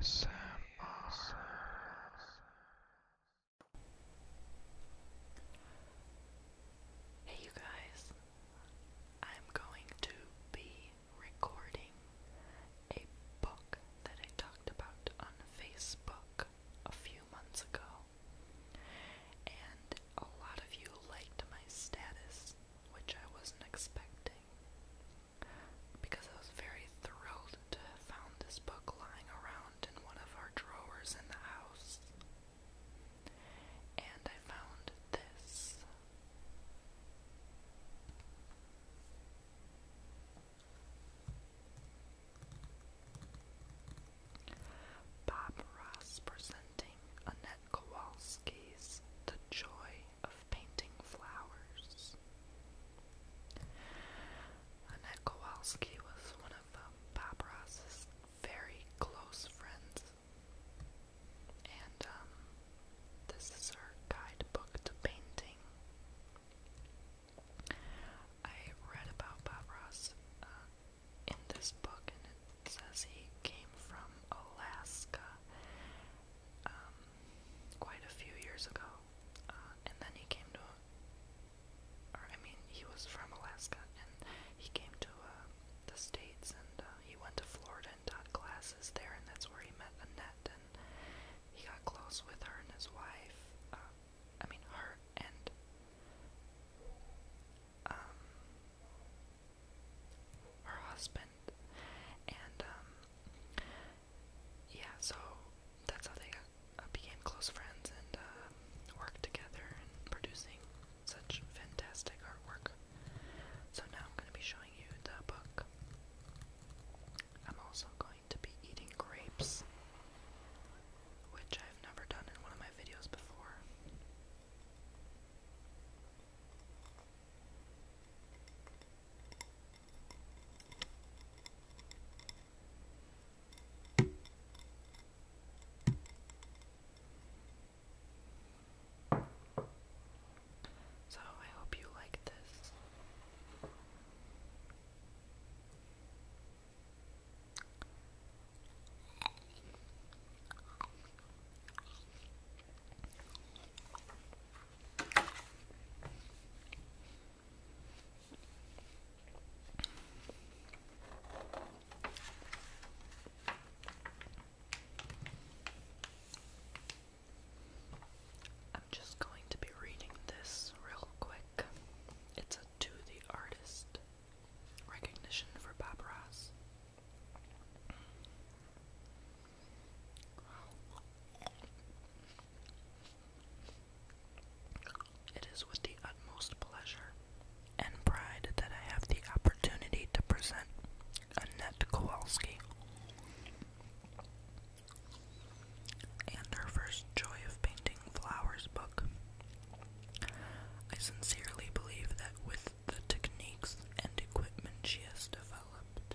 Hey, you guys. I'm going to be recording a book that I talked about on Facebook a few months ago. And a lot of you liked my status, which I wasn't expecting because I was very thrilled to have found this book lying around in one of our drawers in the house. And I found this. Bob Ross presenting Annette Kowalski's The Joy joy of painting flowers. Annette Kowalski was one of Bob um, Ross's very close friends, and um, this is her guidebook to painting. I read about Bob Ross uh, in this book, and it says he came from Alaska. Um, quite a few years ago, uh, and then he came to, or I mean, he was from Alaska, and he came to uh, the States, and uh, he went to Florida and taught classes there, and that's where he met Annette, and he got close with her and his wife, uh, I mean, her and, um, her husband, and, um, yeah, so that's how they uh, became close friends and um, worked together in producing such fantastic artwork. So now I'm going to be showing you the book. I'm also going to be eating grapes, which I've never done in one of my videos before. So I hope you like this. I'm just going to be reading this real quick. It's a to the artist recognition for Bob it is with the utmost pleasure and pride that I have the opportunity to present Annette Kowalski. And her first Joy of Painting Flowers book. I sincerely believe that with the techniques and equipment she has developed,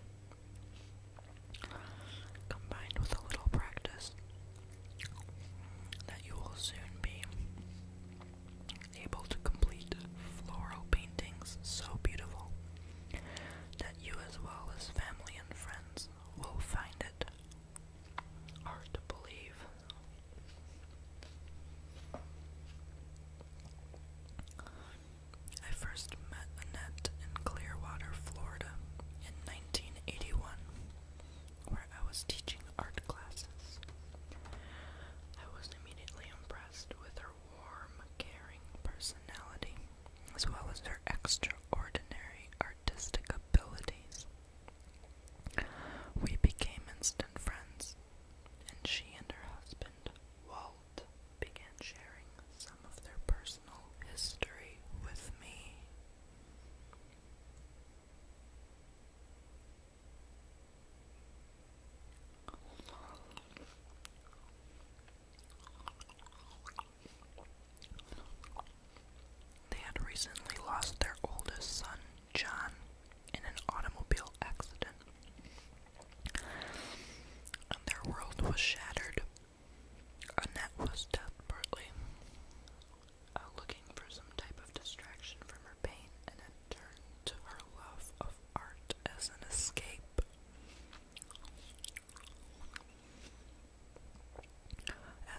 Combined with a little practice, that you will soon be able to complete floral paintings so beautiful that you, as well as family and friends, will find it hard to believe. I first met Annette in Clearwater, Florida in 1981, where I was teaching art classes. I was immediately impressed with her warm, caring personality, as well as her extraordinary artistic abilities. We became instant friends, and she and her husband, Walt, began sharing some of their personal history with me. They had recently lost their oldest son, John, in an automobile accident. And their world was shattered. Annette was desperately uh, looking for some type of distraction from her pain and turned to her love of art as an escape.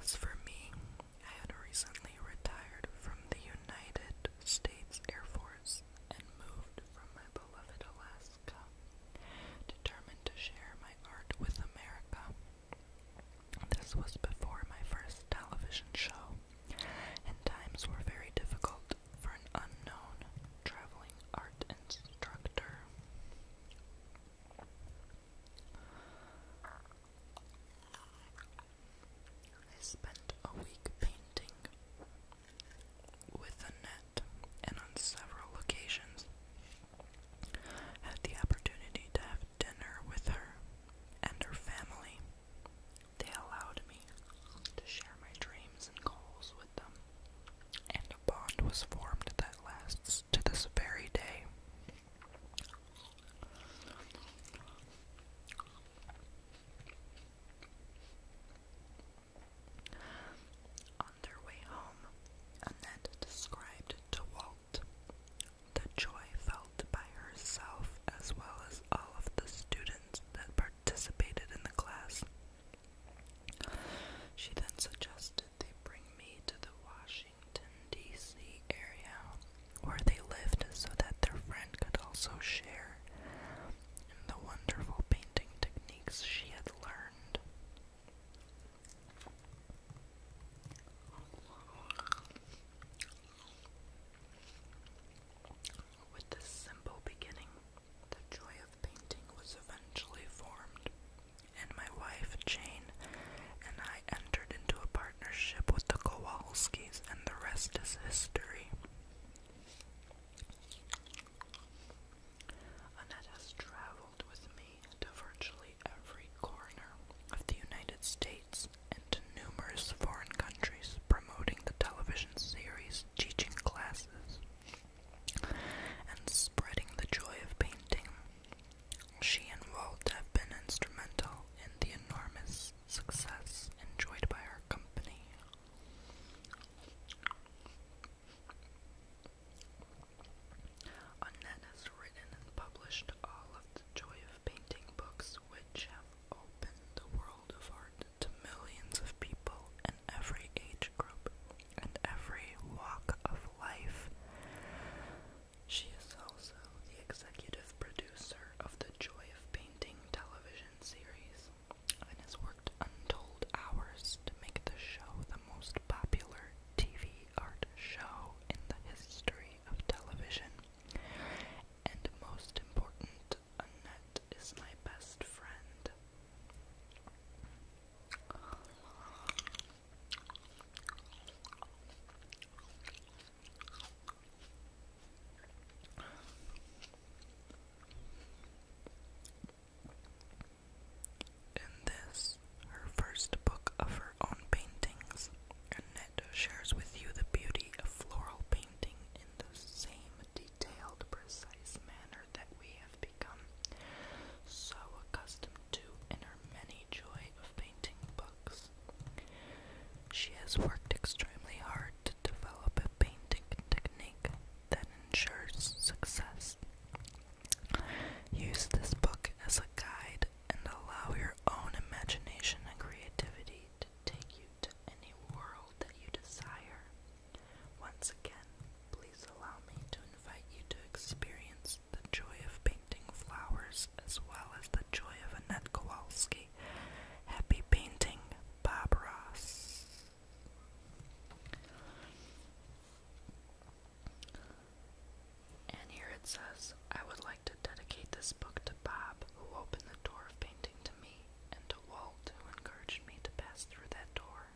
As for me, I had recently retired from the United States Air Force and moved from my beloved Alaska determined to share my art with America. This was before my first television show, and times were very difficult for an unknown traveling art instructor. I spent a week painting with the and on several occasions had the opportunity to have dinner with her and her family. They allowed me to share my dreams and goals with them, and a bond was formed that lasts to this very day. On their way home, Annette described to Walt the joy felt by herself as well as all of the students that participated in the class. She then suggested they bring me to the Washington, D.C. area where they lived so that their friend could also share in the wonderful painting technique she had learned. With this simple beginning, the joy of painting was eventually formed, and my wife, Jane, and I entered into a partnership with the Kowalskis, and the rest is history. Annette has traveled with me to virtually every corner of the United States and to numerous foreign countries, promoting the television series, teaching classes, and spreading the joy of painting. She and Walt have been instrumental in the enormous success enjoyed by our company Annette has written and published all of the Joy of Painting books, which have opened the world of art to millions of people in every age group and every walk of life. She is also the executive producer of the Joy of Painting television series and has worked untold hours to make the show the most popular TV art show in the history of television. And most important, Annette is my best friend. In this, her first book of her own paintings, Annette shares with you the beauty of floral painting in the same detailed, precise manner that we have become so accustomed to in her many joy of painting books. She has worked extremely hard to to develop a painting technique that ensures success. Use this book as a guide and allow your own imagination and creativity to take you to any world that you desire. Once again, please allow me to invite you to experience the joy of painting flowers as well as the joy of Annette Kowalski. Happy painting, Bob and here it says, I would like to dedicate this book to Bob, who opened the door of painting to me, and to Walt, who encouraged me to pass through that door.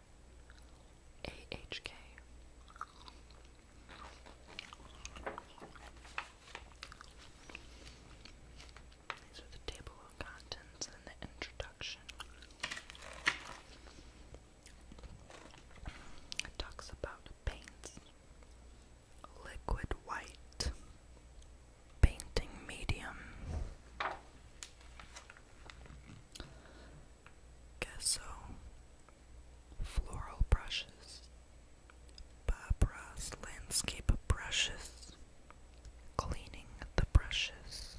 AHK. These are the table of contents and the introduction. It talks about paints. Liquid white. Painting medium. Gesso. Floral brushes. Barbara's landscape brushes cleaning the brushes,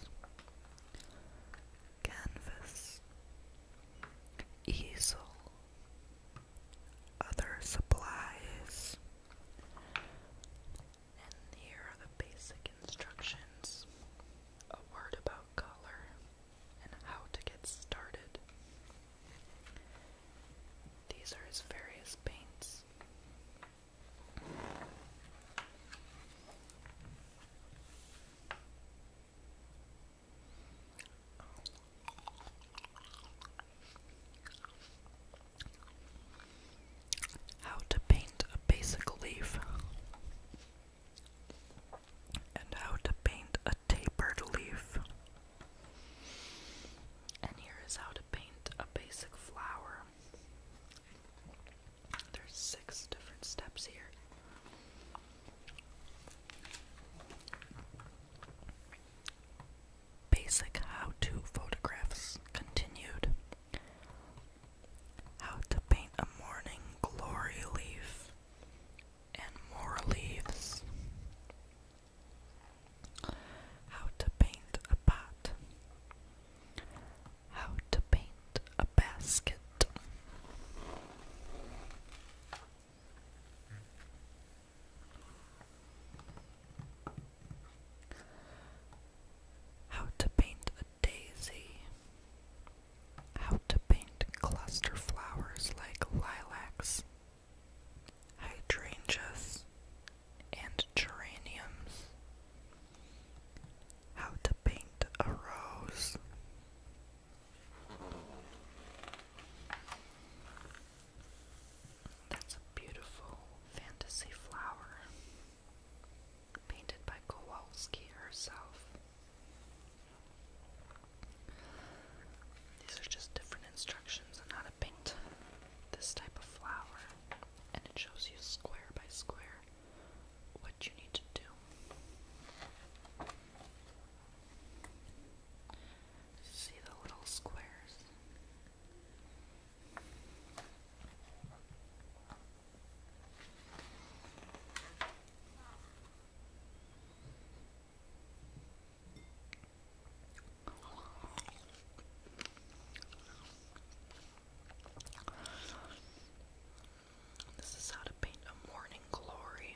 canvas, easel, other supplies, and here are the basic instructions, a word about color, and how to get started. These are his various paints. How to paint a basic leaf and how to paint a tapered leaf. And here is how to paint a basic flower. There's six different steps here. Basic how to photographs continued. How to paint a morning glory leaf and more leaves. How to paint a pot. How to paint a basket. How to paint a daisy. How to paint cluster flowers like lilacs, hydrangeas, and geraniums. How to paint a rose. That's a beautiful fantasy flower painted by Kowalski herself. These are just different instructions on how to paint this type of flower, and it shows you square by square what you need to do. See the little squares. This is how to paint a morning glory.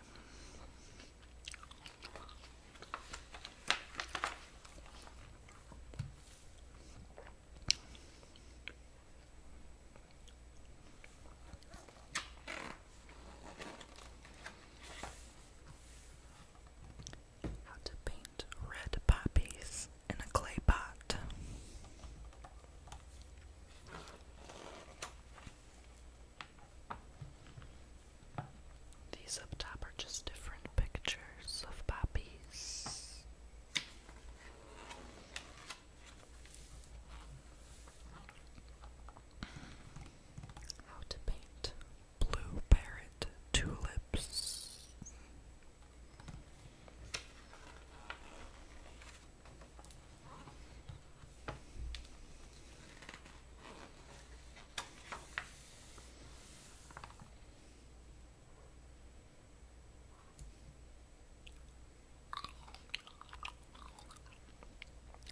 How to paint red poppies in a clay pot. These up top are just different pictures of poppies. How to paint blue parrot tulips.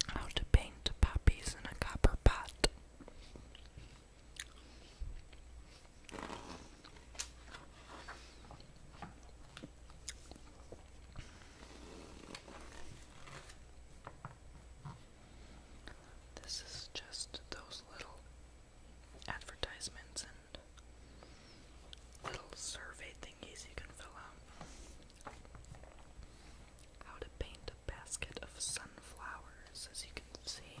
How to paint poppies in a copper pot. This is just those little advertisements and little survey thingies you can fill out. How to paint a basket of sunflowers, as you can see.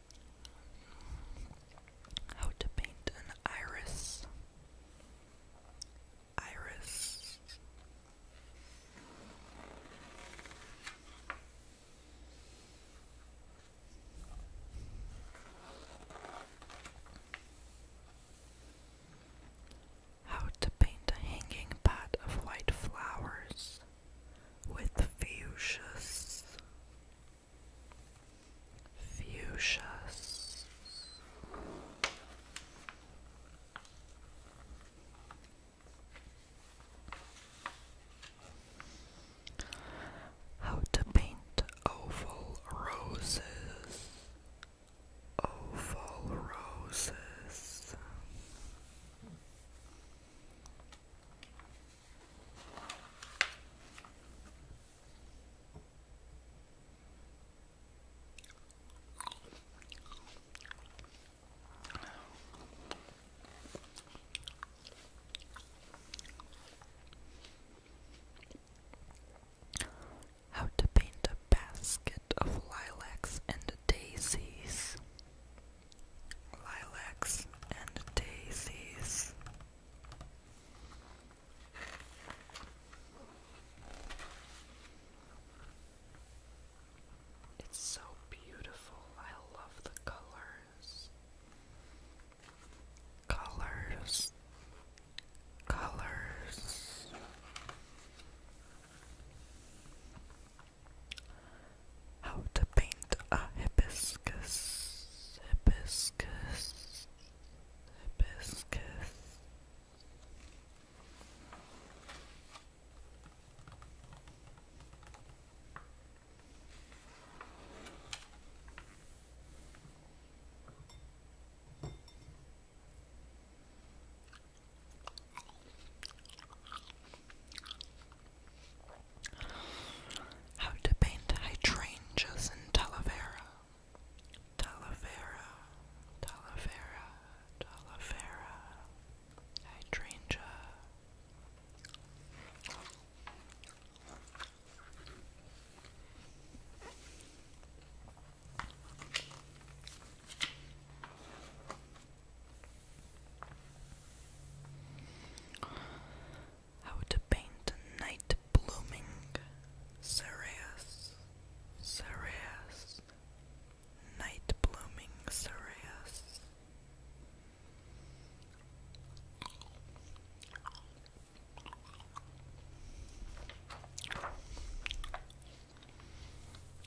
How to paint an iris. Iris. How to paint a hanging pot of white flowers with fuchsias fuchsias how to paint oval roses oval roses how to paint a basket of lilacs and daisies lilacs and daisies. It's so beautiful. I love the colors. Colors. Colors. How to paint a hibiscus, hibiscus, hibiscus. How to paint hydrangeas in Talavera. Talavera, Talavera, Talavera, hydrangea. How to paint a night blooming cereus, cereus, night blooming cereus.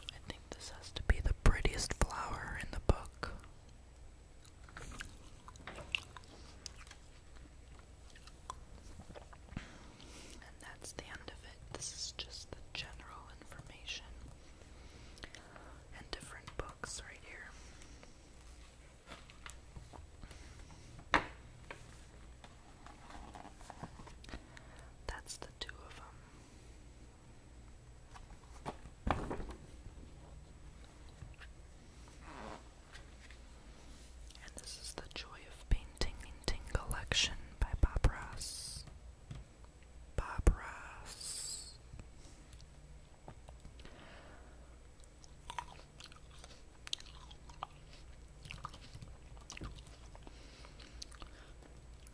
I think this has to be the prettiest flower in the book. And that's the end of it. This is just the general information and different books right here. That's the two of them. And this is the Joy of Painting Painting Collection by Bob Ross.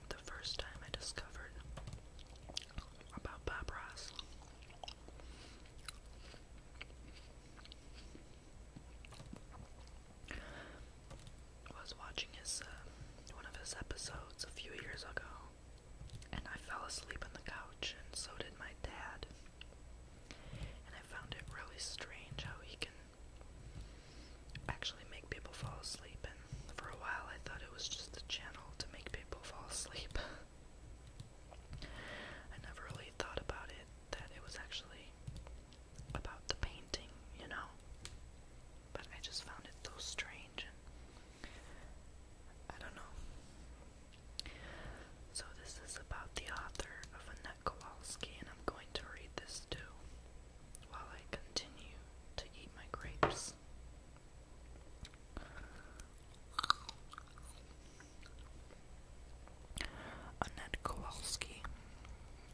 The first time I discovered about Bob Ross I was watching his uh, one of his episodes a few years ago, and I fell asleep on the couch, and so did my dad. And I found it really strange how he can actually make people fall asleep. And for a while, I thought it was just a channel to make people fall asleep. I never really thought about it that it was actually about the painting, you know? But I just found it so strange and I don't know. So, this is about the author of Annette Kowalski, and I'm going to read this too while I continue to eat my grapes. Annette Kowalski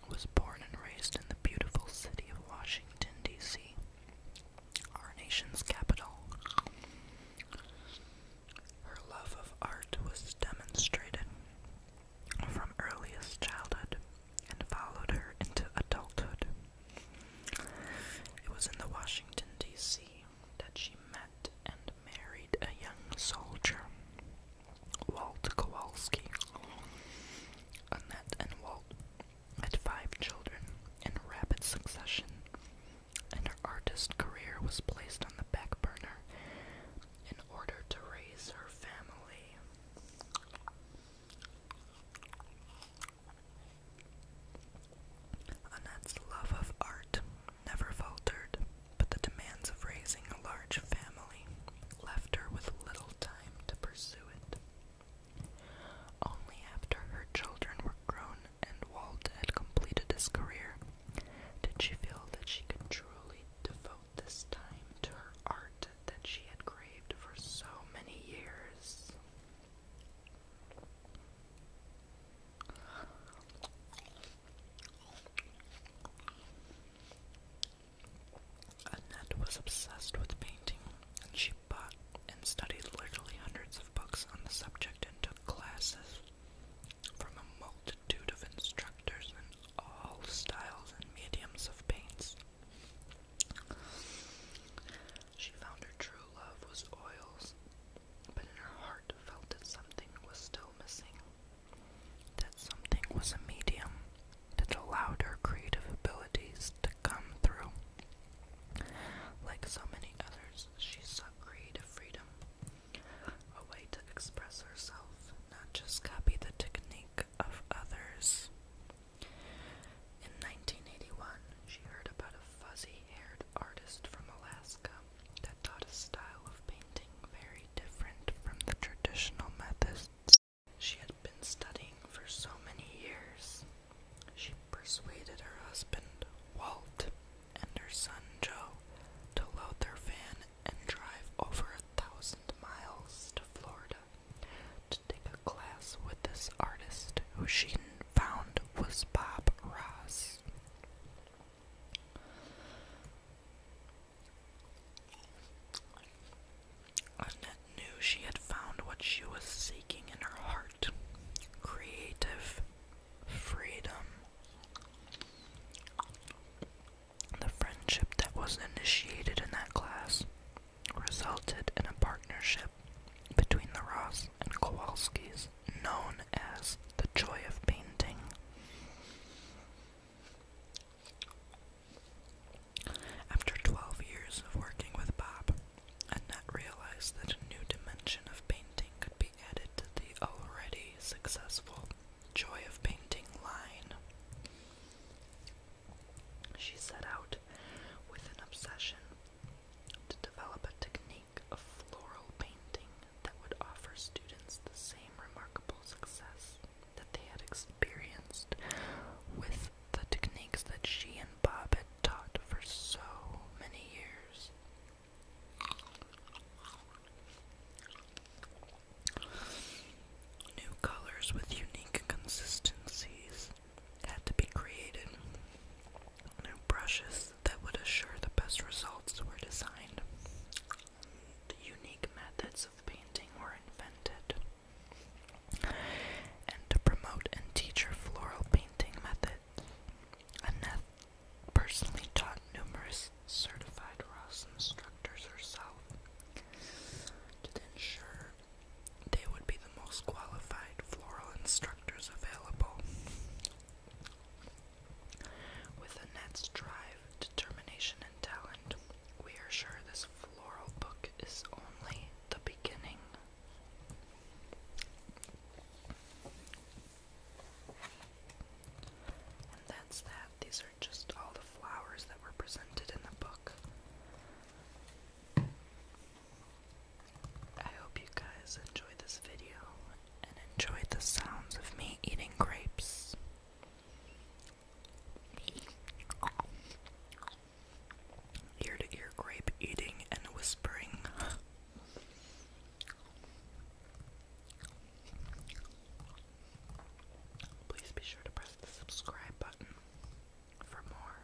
was born and raised in the beautiful city of Washington, D.C., our nation's capital. Her love of art was demonstrated from earliest childhood and followed her into adulthood. It was in the Washington, D.C that she met and married a young soldier, Walt Kowalski. Annette and Walt had five children in rapid succession, and her artist career was placed on the back burner in order to raise her family. Annette's love of art never faltered, but the demands of raising a large family left her with little time to pursue it. Only after her children were grown and Walt had completed his career did she feel that she could truly devote this time to her art that she had craved for so many years. Annette was obsessed with painting, and she bought and studied literally hundreds of books on the subject and took classes from a multitude of instructors in all styles and mediums of paints. She found her true love was oils, but in her heart felt that something was still missing. That something was a medium that allowed her creative abilities to come through. Like so many others, she sought creative freedom, a way to express herself, not just copy the technique of others. In 1981, she heard about a fuzzy haired artist from Alaska that taught a style of painting very different from the traditional methods she had been studying for so many years. She persuaded her husband, Walt, and her son Joe to load their van and drive over a thousand miles to Florida to take a class with this artist who she found was Bob Ross. Annette knew she had found what she was seeking in her heart creative freedom. The friendship that was initiated in that class resulted in a partnership between the Ross and Kowalskis known as the joy of painting. After 12 years of working with Bob, Annette realized that a new dimension of painting could be added to the already successful Joy of Painting line. She set out with an obsession to develop a technique technique floral painting that would offer students the same remarkable success that they had experienced with the techniques that she and Bob had taught for so many years. New colors with unique consistencies had to be created. New brushes that would assure the best results were designed. unique methods of painting were invented. And to promote and teach her floral painting method, Annette personally taught numerous certified Ross instructors herself to ensure they would be the most qualified floral instructors available. With Annette's drive, determination, and talent, we are sure this floral book is only the beginning. And that's that. These are just all the flowers that were presented in the book. I hope you guys enjoyed this video and enjoyed the sounds of me eating grapes. Ear to ear grape eating and whispering. Please be sure to press the subscribe button for more.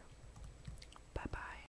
Bye bye.